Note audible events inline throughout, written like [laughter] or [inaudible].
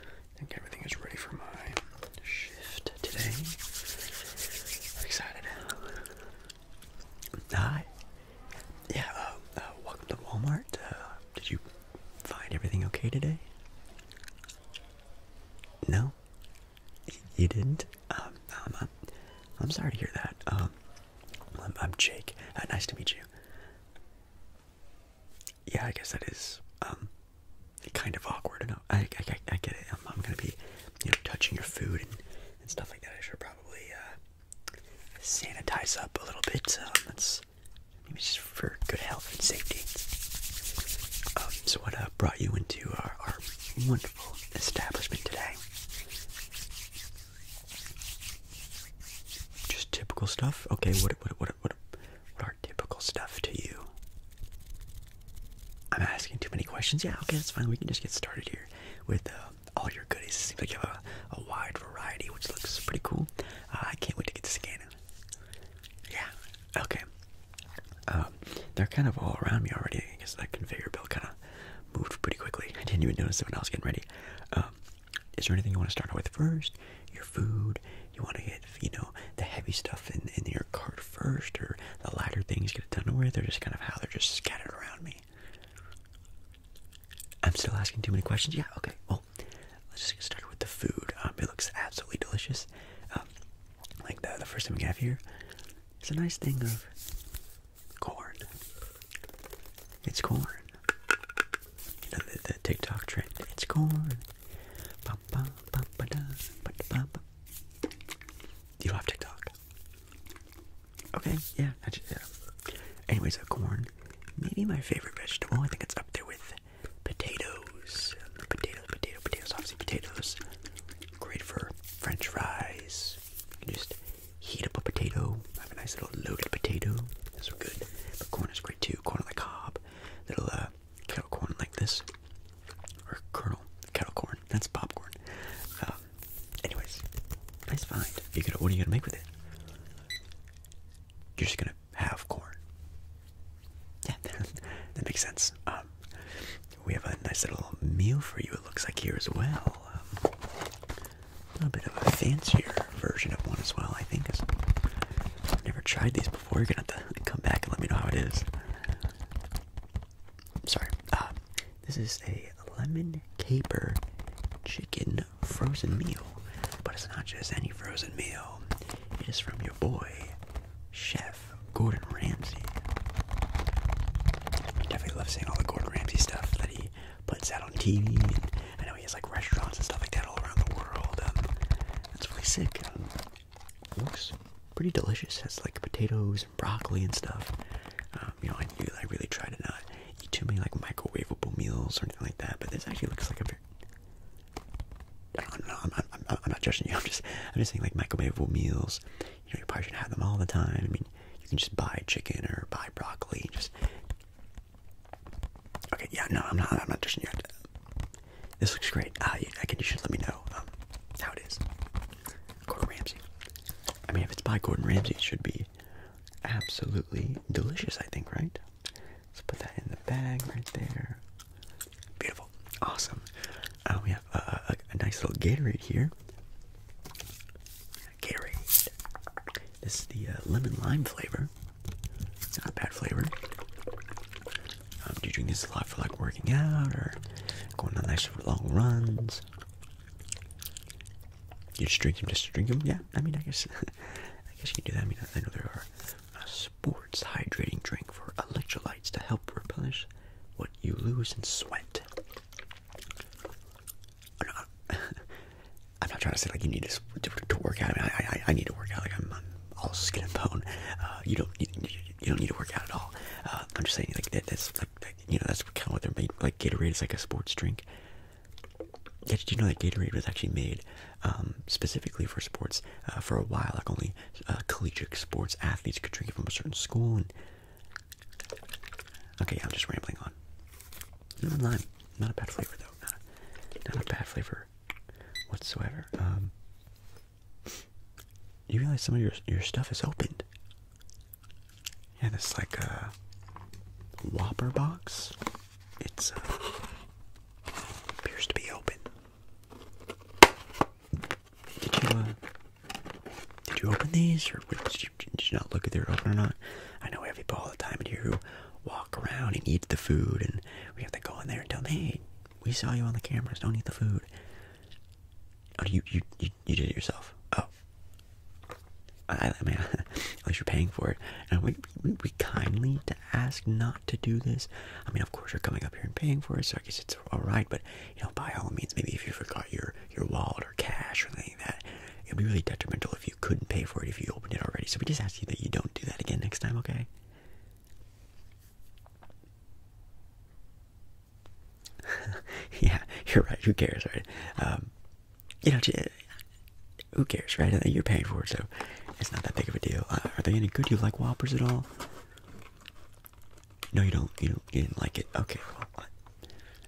I think everything is ready for my shift today. I'm excited. Hi. Yeah, uh, uh, welcome to Walmart. Uh, did you find everything okay today? No? You didn't? Um, I'm, um, I'm, I'm sorry to hear that. Um, I'm, I'm Jake. Uh, nice to meet you yeah, I guess that is um, kind of awkward. I, I, I, I get it. I'm, gonna be, you know, touching your food and, stuff like that. I should probably uh, sanitize up a little bit. Um, that's maybe just for good health and safety. Um, so, what uh, brought you into our, wonderful establishment today? Just typical stuff. Okay, what what what what what typical stuff to you. I'm asking too many questions. Yeah, okay, that's fine. We can just get started here with uh, all your goodies. It seems like you have a, wide variety, which looks pretty cool. Uh, I can't wait to get to scanning. Yeah, okay. Um, they're kind of all around me already. I guess that conveyor belt kind of moved pretty quickly. I didn't even notice it when I was getting ready. Um, is there anything you want to start with first? your food. You want to get, you know, the heavy stuff in, in your cart first, or the lighter things get it done with, or just kind of how they're just scattered around me. I'm still asking too many questions. Yeah, okay. Well, let's just get started with the food. Um, it looks absolutely delicious. Um, like the, the first thing we have here, it's a nice thing of corn. It's corn. You know, the TikTok trend. It's corn. You have TikTok. Okay, yeah, I just, yeah. Anyways, a corn, maybe my favorite vegetable. I think it's up there with potatoes. Potatoes, potatoes, potatoes, obviously potatoes. Great for French fries. You can just heat up a potato. Have a nice little loaded potato. That's good. But corn is great too. Corn on the cob. Little uh, kettle corn like this, or kernel kettle corn. That's popcorn. Um, anyways, nice find. You could. What are you gonna make with it? You're just gonna have corn. Yeah, [laughs] that makes sense. Um, we have a nice little meal for you. It looks like here as well. Um, a little bit of a fancier version of one as well. I think. I've never tried these you're gonna have to [laughs] come back and let me know how it is. Sorry. Uh, this is a lemon caper chicken frozen meal, but it's not just any frozen meal. It is from your boy, Chef Gordon Ramsay. I definitely love seeing all the Gordon Ramsay stuff that he puts out on TV. And I know he has like restaurants and stuff like that all around the world. Um, that's really sick. looks pretty delicious. Has like potatoes and broccoli and stuff. Um, you know, I, I really try to not eat too many like microwavable meals or anything like that. But this actually looks like a very I don't know. I'm, not judging you. [laughs] I'm just I'm just saying like microwavable meals. You know, you probably should not have them all the time. I mean, you can just buy chicken or buy broccoli. Just Okay, yeah, no, I'm not. I'm not dishing yet. This looks great. Uh, I can. You should let me know um, how it is. Gordon Ramsay. I mean, if it's by Gordon Ramsay, it should be absolutely delicious. I think, right? Let's put that in the bag right there. Beautiful. Awesome. Um, we have uh, uh, a, nice little Gatorade here. Gatorade. This is the lemon lime flavor not bad flavor. Um, do you drink this a lot for like working out or going on nice long runs? You just drink them just drink them? Yeah, I mean, I guess [laughs] I guess you can do that. I mean, I know there are sports hydrating drink for electrolytes to help replenish what you lose in sweat. [laughs] [laughs] I'm not trying to say like you need to to, work out. I mean, I, I I need to work out. Like I'm, all skin and bone. Uh, you don't you, you don't need to work out at all. Uh, I'm just saying like that's like you know that's kind of what they're made. Like Gatorade is like a sports drink. did you know that Gatorade was actually made um, specifically for sports uh, for a while? Like only collegiate sports athletes could drink it from a certain school. okay, I'm just rambling on. No lime, not a bad flavor though. Not a, not a bad flavor whatsoever. Um, you realize some of your your stuff is opened. Yeah, this like a uh, Whopper box. It's uh, appears to be open. Did you uh, did you open these, or did you, not look at their open or not? I know we have people all the time in here who walk around and eat the food, and we have to go in there and tell them, hey, we saw you on the cameras, don't eat the food. Oh, you, you, you, you did it yourself. Oh. I, I [laughs] at least you're paying for it. And we, we, kindly to ask not to do this. I mean, of course, you're coming up here and paying for it, so I guess it's all right. But you know, by all means, maybe if you forgot your your wallet or cash or anything like that, it'd be really detrimental if you couldn't pay for it if you opened it already. So we just ask you that you don't do that again next time, okay? [laughs] yeah, you're right. Who cares, right? Um, you know, who cares, right? You're paying for it, so it's not that big of a deal. Uh, are they any good? Do you like Whoppers at all? No, you don't. You don't. You didn't like it. Okay, well,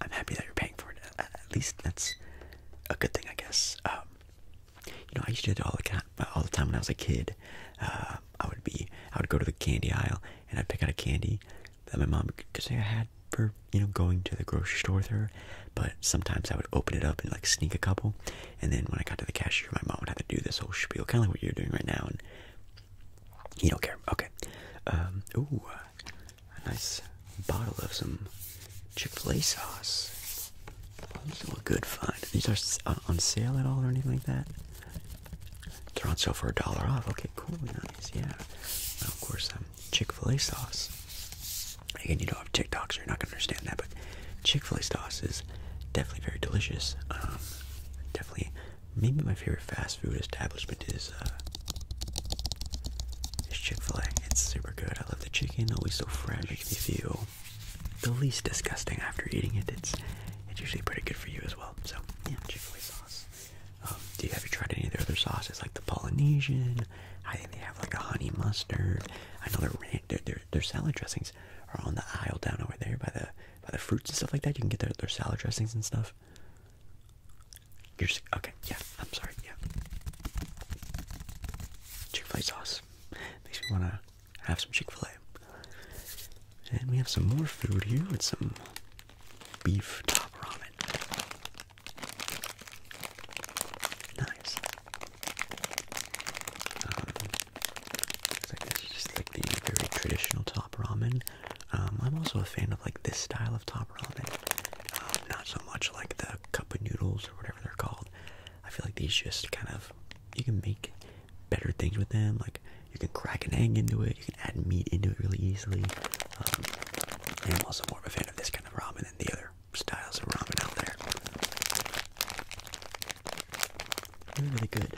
I'm happy that you're paying for it. at least that's a good thing, I guess. Um, you know, I used to do it all the uh, all the time when I was a kid. Uh, I would be, I would go to the candy aisle and I'd pick out a candy that my mom could say I had for you know going to the grocery store with her. But sometimes I would open it up and like sneak a couple, and then when I got to the cashier, my mom would have to do this whole spiel, kind of like what you're doing right now, and you don't care. Okay. Um, ooh, a nice bottle of some Chick-fil-A sauce. Also a good find. These are uh, on sale at all or anything like that? They're on sale for a dollar off. Okay, cool, nice, yeah. of course, um, Chick-fil-A sauce. Again, you don't have TikTok, so you're not gonna understand that, but Chick-fil-A sauce is definitely very delicious. Um, definitely, maybe my favorite fast food establishment is, uh, is Chick-fil-A. It's super good. I love the chicken, always so fresh. If feel the least disgusting after eating it. It's it's usually pretty good for you as well. So yeah, Chick-fil-A sauce. Um, do you have you tried any of their other sauces like the Polynesian? I think they have like a honey mustard. I know their their their, their salad dressings are on the aisle down over there by the by the fruits and stuff like that. You can get their their salad dressings and stuff. You're just, okay. Yeah, I'm sorry. Yeah, Chick-fil-A sauce. Makes me want to have some Chick fil A. And we have some more food here with some beef top ramen. Nice. Um, it's this is just like the very traditional top ramen. Um, I'm also a fan of like this style of top ramen. Um, not so much like the cup of noodles or whatever they're called. I feel like these just kind of you can make better things with them. Like you can crack an egg into it, you can add meat into it really easily. Um, I'm also more of a fan of this kind of ramen than the other styles of ramen out there. Really, good.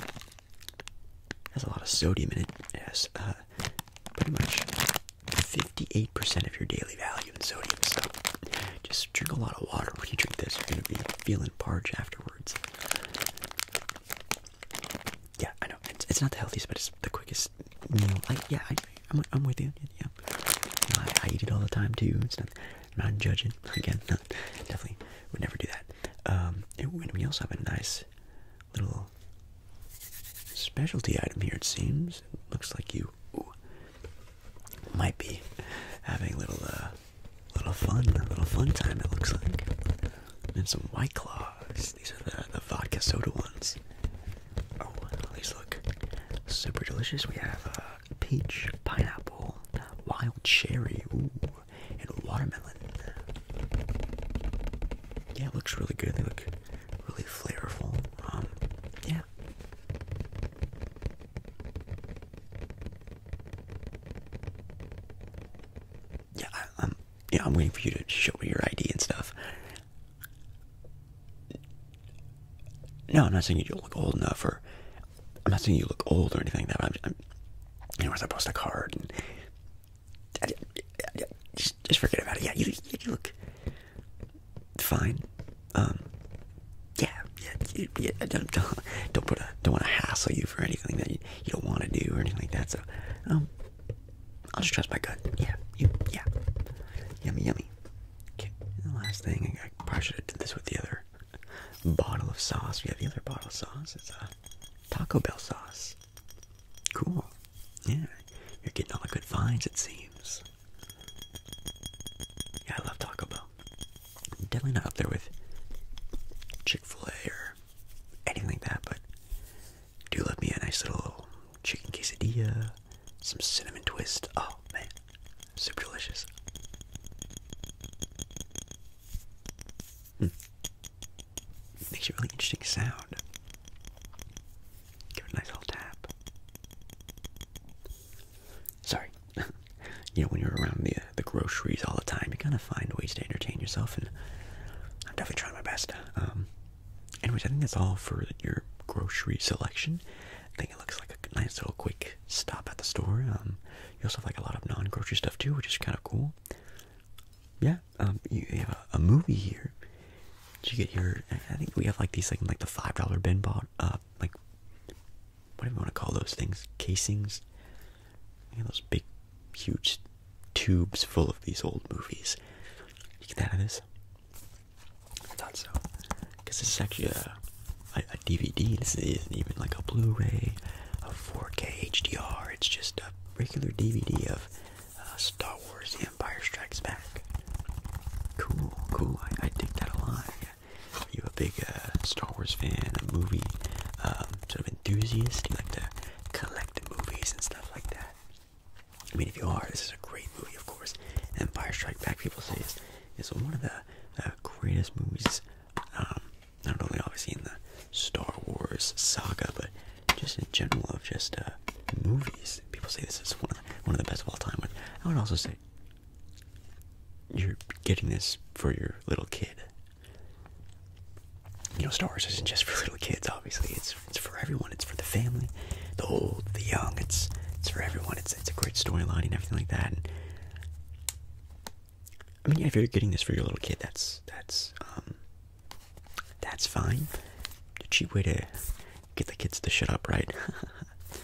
Has a lot of sodium in it. It has uh, pretty much 58% of your daily value in sodium. stuff. Just drink a lot of water when you drink this. You're gonna be feeling parched afterwards. Yeah, I know it's, not the healthiest, but it's the quickest meal. I, yeah, I, am with you. Yeah, I, eat it all the time too. It's not, judging. [laughs] Again, [laughs] definitely would never do that. Um, and we also have a nice little specialty item here. It seems. It looks like you might be having a little, uh, little fun, a little fun time it looks like. And some White Claws. These are the, vodka soda ones. Oh, these look super delicious. We have uh, peach, pineapple, wild cherry, and watermelon. Yeah, looks really good. They look really flavorful. Um, yeah. Yeah, I, am Yeah, I'm waiting for you to show me your ID and stuff. No, I'm not saying you look old enough, or I'm not saying you look old or anything. That I'm, I'm you know, I post a card and just, just forget about it. Yeah, you look, fine. Um, yeah, yeah, yeah don't, don't don't put a don't want to hassle you for anything that you, you don't want to do or anything like that. So, um, I'll just trust my gut. Yeah, you, yeah, yummy, yummy. Okay, the last thing I probably should have did this with the other bottle of sauce. We have the other bottle of sauce. It's a uh, Taco Bell sauce. Cool. Yeah, you're getting all the good finds. It seems. Yeah, I love Taco Bell. Definitely not up there with Chick-fil-A or anything like that, but do love me a nice little chicken quesadilla, some cinnamon twist. Oh man, super delicious. Hmm. Makes a really interesting sound. Give it a nice little tap. Sorry. [laughs] you know, when you're around the uh, the groceries all the time, you kind of find ways to entertain yourself, and I'm definitely trying my best. Um, anyways, I think that's all for your grocery selection. I think it looks like a nice little quick stop at the store. Um, you also have like a lot of non-grocery stuff too, which is kind of cool. Yeah, um, you have a, movie here. So you get your, I think we have like these like like the five dollar bin bought, uh, uh, like whatever you want to call those things, casings. You know, those big, huge tubes full of these old movies. You get that out of this? I thought so. Because this is actually a, DVD. This isn't even like a Blu-ray, a 4K HDR. It's just a regular DVD of uh, Star Wars: The Empire Strikes Back. Cool, cool. I, dig that a lot. Are you a big uh, Star Wars fan, a movie um, sort of enthusiast? You like to collect the movies and stuff like that? I mean, if you are, this is a great movie, of course. Empire Strike Back, people say, is, one of the uh, greatest movies, um, not only obviously in the Star Wars saga, but just in general of just uh, movies. People say this is one of, the, one of the best of all time. But I would also say you're getting this for your little kid. You know, Star Wars isn't just for little kids. Obviously, it's it's for everyone. It's for the family, the old, the young. It's it's for everyone. It's it's a great storyline and everything like that. And, I mean, if you're getting this for your little kid, that's that's um that's fine. A cheap way to get the kids to shut up, right? [laughs]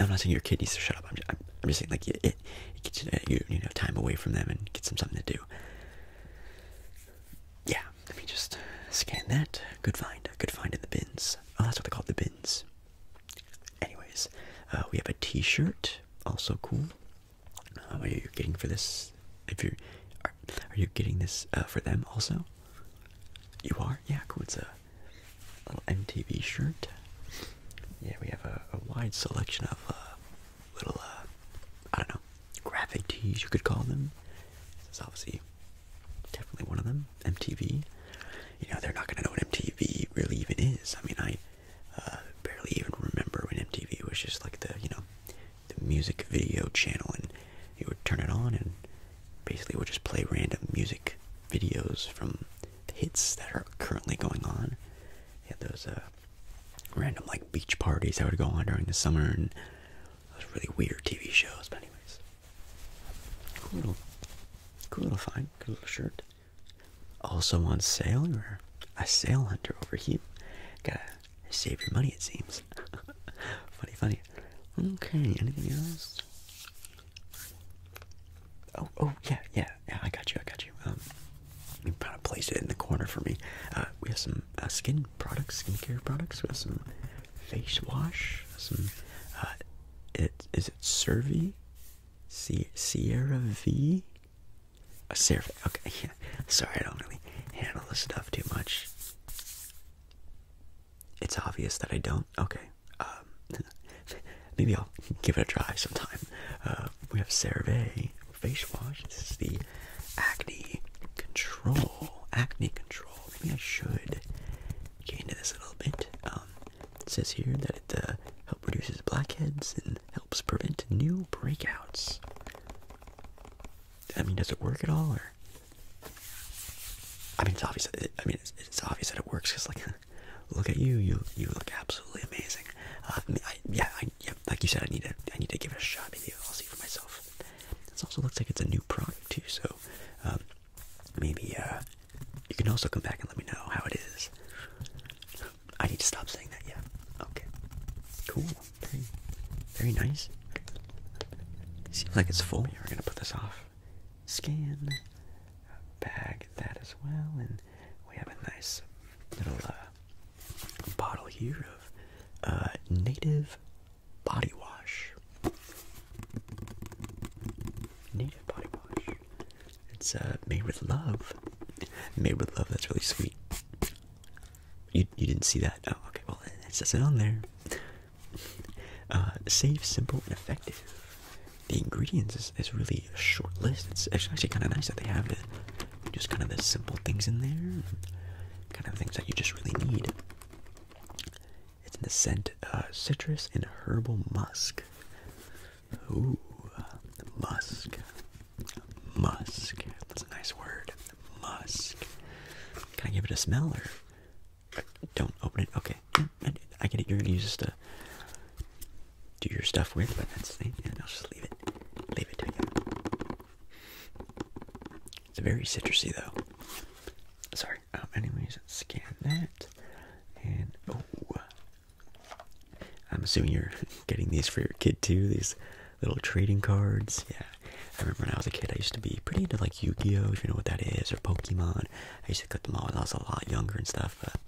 I'm not saying your kidneys needs to shut up. I'm just, saying like it, you you know time away from them and get them something to do. Yeah, let me just scan that. Good find. Good find in the bins. Oh, that's what they call the bins. Anyways, uh, we have a T-shirt. Also cool. Uh, are you getting for this? If you are, are you getting this uh, for them also? You are. Yeah, cool little MTV shirt. Yeah, we have a, wide selection of uh, little, uh, I don't know, graphic tees you could call them. This is obviously definitely one of them. MTV. You know, they're not gonna know what MTV really even is. I mean, I uh, barely even remember when MTV was just like the, you know, the music video channel, and you would turn it on and basically it would just play random music videos from hits that are currently going on. They had those uh, random like beach parties that would go on during the summer and those really weird TV shows. But anyways, cool little, cool little find, cool little shirt. Also on sale, you're a sale hunter over here. Gotta save your money, it seems. [laughs] funny, funny. Okay, anything else? Oh, oh, yeah, yeah, yeah. I got you. I got you. Um, you kind of place it in the corner for me. Uh, we have some uh, skin products, skincare products. We have some face wash. Some, uh, it is it Cervi, C Sierra V, a uh, Okay, [laughs] yeah. Sorry, I don't really handle this stuff too much. It's obvious that I don't. Okay. Um, [laughs] maybe I'll give it a try sometime. Uh, we have CeraVe face wash. This is the acne control. Acne control. Maybe I should get into this a little bit. Um, says here that it uh, helps reduces blackheads and helps prevent new breakouts. I mean, does it work at all, or I mean, it's obvious. I mean, it's, obvious that it works because, like, [laughs] look at you. You you look absolutely amazing. Uh, I mean, I, yeah, I, yeah, like you said, I need to I need to give it a shot. Maybe I'll see for myself. This also looks like it's a new product too. So um, maybe uh, you can also come back and let me know how it is. I need to stop saying that. Yeah. Okay. Cool. Very, very nice. Seems like it's full. We're gonna put this off skin bag that as well, and we have a nice little uh, bottle here of uh, native body wash. Native body wash. It's uh, made with love. Made with love. That's really sweet. You you didn't see that? Oh, okay. Well, it says it on there. Uh, safe, simple, and effective. The ingredients is, is really a short list. It's actually kind of nice that they have it. Just kind of the simple things in there, kind of things that you just really need. It's in the scent uh, citrus and herbal musk. Ooh, musk. Musk. That's a nice word. Musk. Can I give it a smell or don't open it. Okay. I get it. You're gonna use this to do your stuff with, but that's the thing. And I'll just leave it. Leave it to you. It's very citrusy, though. Sorry. Um, anyways, scan that. And oh, I'm assuming you're getting these for your kid too. These little trading cards. Yeah. I remember when I was a kid, I used to be pretty into like Yu-Gi-Oh, if you know what that is, or Pokemon. I used to collect them all when I was a lot younger and stuff, but...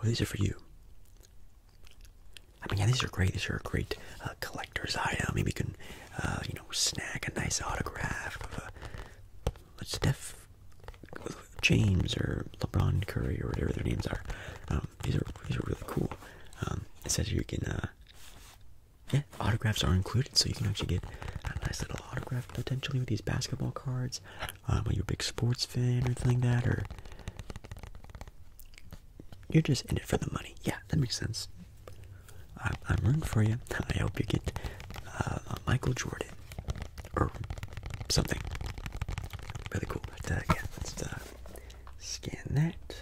Oh, these are for you. I mean, yeah, these are great. These are a great uh, collector's item. Maybe you can, uh, you know, snag a nice autograph of a, a Steph James or LeBron Curry or whatever their names are. Um, these are these are really cool. Um, it says you can uh, yeah, autographs are included, so you can actually get a nice little autograph potentially with these basketball cards. Um, are you a big sports fan or anything like that, or you're just in it for the money? Yeah, that makes sense. I'm, rooting for you. I hope you get uh, Michael Jordan or something. Really cool. But uh, yeah, let's uh, scan that.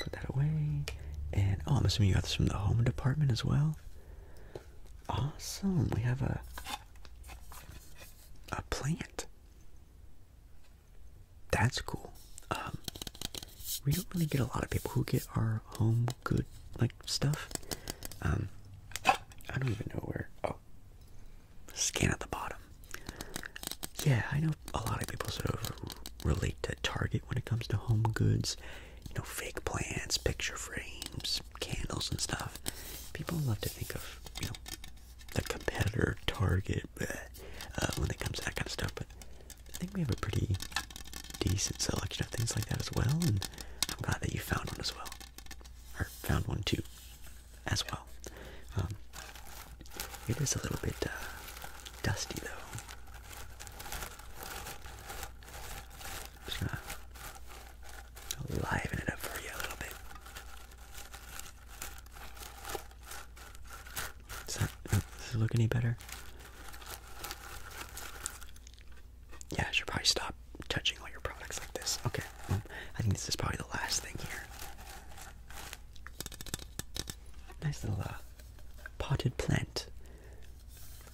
Put that away. And oh, I'm assuming you got this from the home department as well. Awesome. We have a a plant. That's cool. Um, we don't really get a lot of people who get our home good like stuff. Um, I don't even know where. Oh, scan at the bottom. Yeah, I know a lot of people sort of relate to Target when it comes to home goods, you know, fake plants, picture frames, candles and stuff. People love to think of, you know, the competitor target bleh, uh, when it comes to that kind of stuff, but I think we have a pretty decent selection of things like that as well, and I'm glad that you found one as well. Or found one too, as well. Um, it is a little bit uh, dusty though. Just gonna liven it up for you a little bit. Does, uh, does it look any better? Yeah, I should probably stop touching all your products like this. Okay, I think this is probably the last thing here. Nice little uh, potted plant.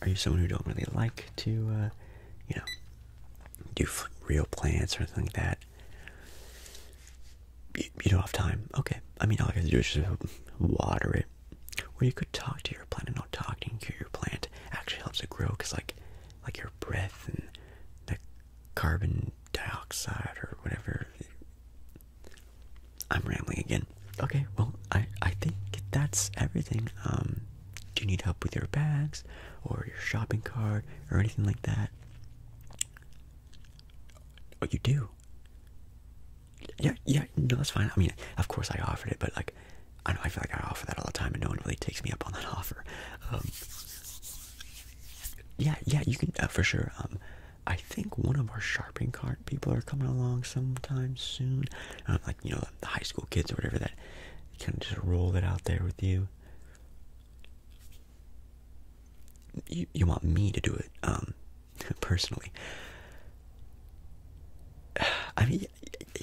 Are you someone who don't really like to, uh, you know, do real plants or anything like that? You, don't have time. Okay. I mean, all you have to do is just water it. Or you could talk to your plant. and talking to your plant actually helps it grow because, like, like your breath and the carbon dioxide or whatever I'm rambling again. Okay, well, I I think that's everything. Um, do you need help with your bags or your shopping cart or anything like that? Oh, you do. Yeah, yeah, no, that's fine. I mean, of course, I offered it, but like, I know I feel like I offer that all the time, and no one really takes me up on that [laughs] offer. Um, yeah, yeah, you can uh, for sure. Um, I think one of our shopping cart people are coming along sometime soon. like, you know, the high school kids or whatever that kind of just roll it out there with you. You, you want me to do it, um, [laughs] personally. [sighs] I mean,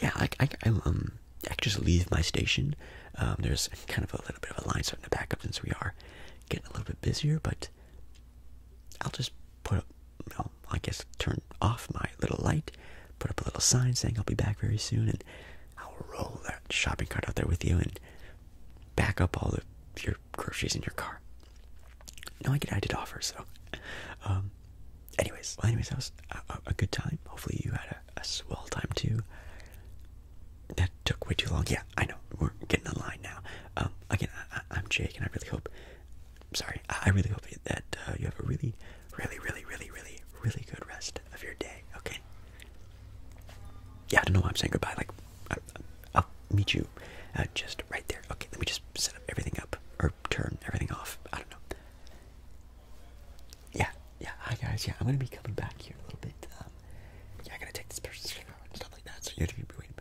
yeah, I, I, um, I could just leave my station. Um, there's kind of a little bit of a line starting to back up since we are getting a little bit busier, but I'll just put well, I guess turn off my little light, put up a little sign saying I'll be back very soon, and I'll roll that shopping cart out there with you and back up all of your groceries in your car. No, I get added did offer, so. Um, anyways, well, anyways, that was a, good time. Hopefully, you had a, swell time too. That took way too long. Yeah, I know. We're getting in line now. Um, again, I'm Jake, and I really hope sorry, I really hope that uh, you have a really, really, really, really, really, really good rest of your day, okay? Yeah, I don't know why I'm saying goodbye. Like, I, will meet you uh, just right there. Okay, let me just set up everything up or turn everything off. I don't know. Yeah, yeah, hi guys. Yeah, I'm gonna be coming back here in a little bit. Um, yeah, I to take this person's stuff like that, so you have to be waiting.